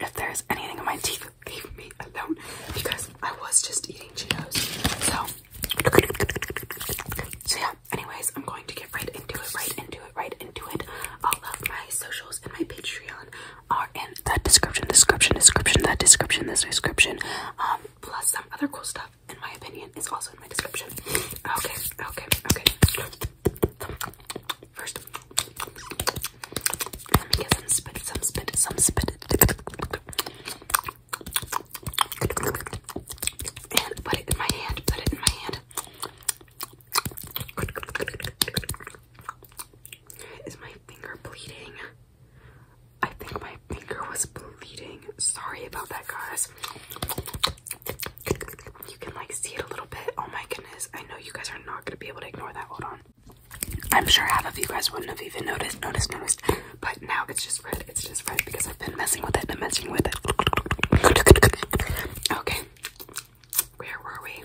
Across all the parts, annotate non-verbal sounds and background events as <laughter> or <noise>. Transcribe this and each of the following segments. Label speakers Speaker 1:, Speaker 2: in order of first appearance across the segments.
Speaker 1: if there's anything in my teeth, leave me alone because I was just eating Cheetos. So, so yeah, anyways, I'm going to get right into it, right into it, right into it. All of my socials and my Patreon are in that description, description, description, that description, this description. Um, plus some other cool stuff, in my opinion, is also in my description. Okay, okay, okay. First, let me get some spit, some spit, some spit. And put it in my hand, put it in my hand. Is my finger bleeding? I think my finger was bleeding. Sorry about that, guys. You can like see it a little bit. Oh my goodness. I know you guys are not gonna be able to ignore that. Hold on. I'm sure half of you guys wouldn't have even noticed, noticed, noticed. But now it's just red. It's just red because I've been messing with it and messing with it. Okay. Where were we?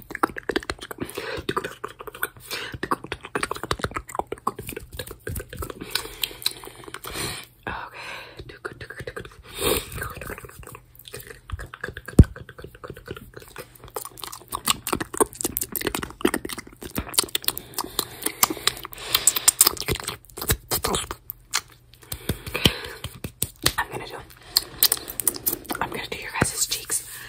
Speaker 1: I'm gonna do. I'm gonna do your guys' cheeks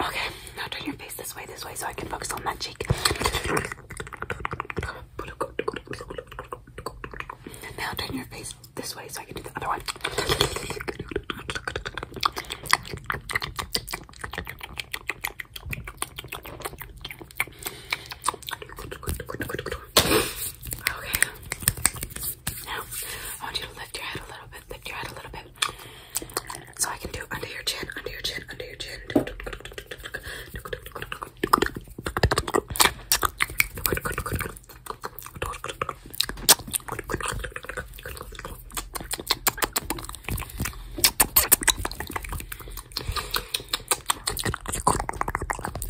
Speaker 1: Okay, now turn your face this way, this way, so I can focus on that cheek. Now turn your face this way, so I can do the other one. Okay. Now, I want you to lift your head a little bit, lift your head a little bit. So I can do under your chin, under your chin, under your chin.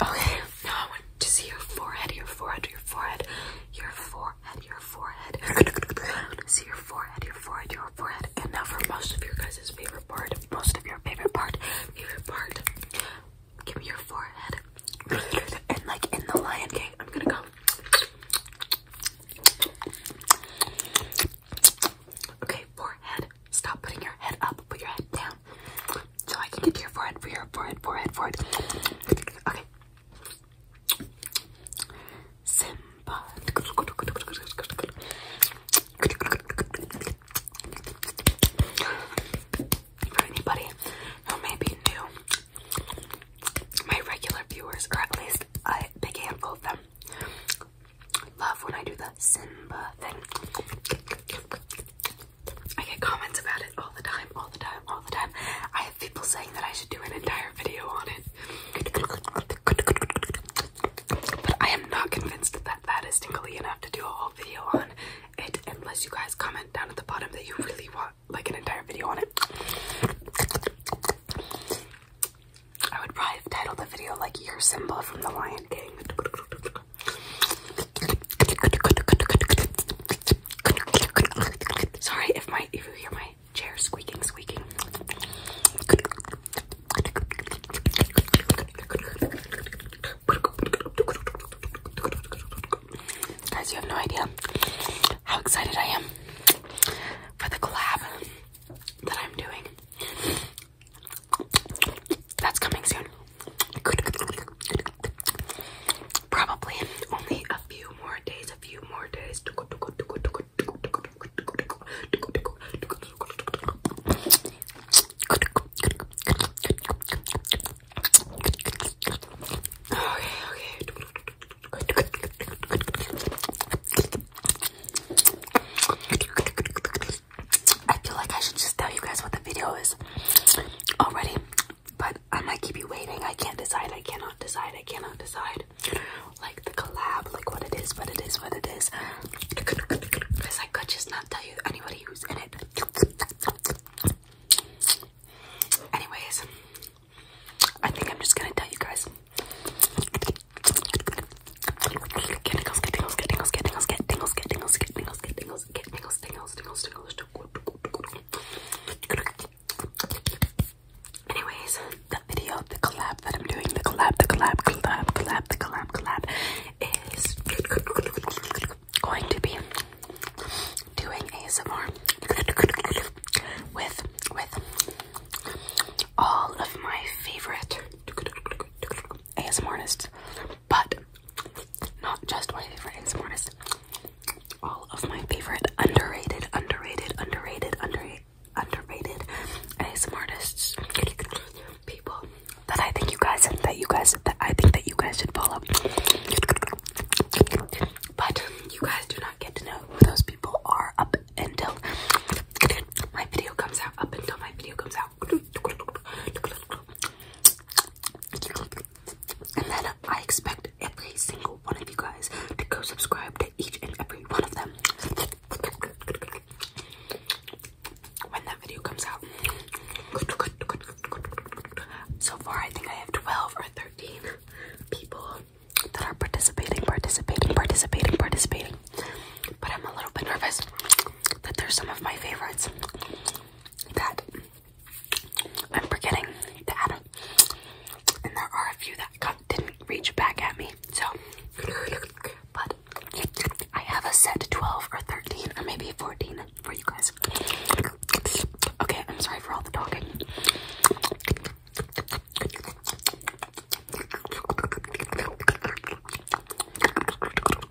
Speaker 1: Okay. Now I want to see your forehead, your forehead, your forehead, your forehead, your forehead. <laughs> see your forehead, your forehead, your forehead. And now for most of your guys' favorite part, most of your favorite part, favorite part. Give me your forehead. <laughs> And like in the Lion King, I'm gonna go. Okay, forehead. Stop putting your head up. Put your head down so I can get to your forehead, for your forehead, forehead, forehead. Okay. Simba. For anybody who may new, my regular viewers, or at least a big handful of them, love when I do the Simba thing. I get comments about it all the time, all the time, all the time. I have people saying that I should do an entire video on it. But I am not convinced that that is tingly enough to do a whole video on it unless you guys comment down at the bottom that you really want like an entire video on it. I would probably have titled the video like Your Symbol from the Lion King. Sorry if my if you hear my chair squeaking, squeaking. Guys, you have no idea how excited I am for the collab that I'm doing. That's coming soon. Probably only a few more days, a few more days. Okay, okay. I feel like I should just tell you guys what the video is already, but I might keep you waiting. I can't decide. I cannot decide. I cannot decide. Like the collab, like what it is, what it is, what it is. Because I could just not tell you anybody who's in it. Anyways, I think I'm just gonna tell you guys. Get tingles, get tingles, get tingles, get tingles, get tingles, get tingles, get tingles, get tingles, tingles, Anyways, the video, the collab that I'm doing, the collab, the collab, collab, collab, the collab, collab is going to be doing ASMR with with all of my favorite ASM artists, but not just my favorite ASM artists. All of my favorite underrated, underrated, underrated, underrated, underrated ASM artists, people that I think you guys that you guys that I think that you guys should follow. But you guys do not get to know who those people are up until my video comes out. Up until my video comes out. And then I expect every single one of you guys to go subscribe to each and every one of them when that video comes out. So far, I think I have 12 or 13 people that are participating, participating, participating, participating. But I'm a little bit nervous that there's some of my favorites that I'm forgetting to add and there are a few that got, didn't reach back at me. So, but I have a set 12 or 13 or maybe 14 for you guys. Okay, I'm sorry for all the talking.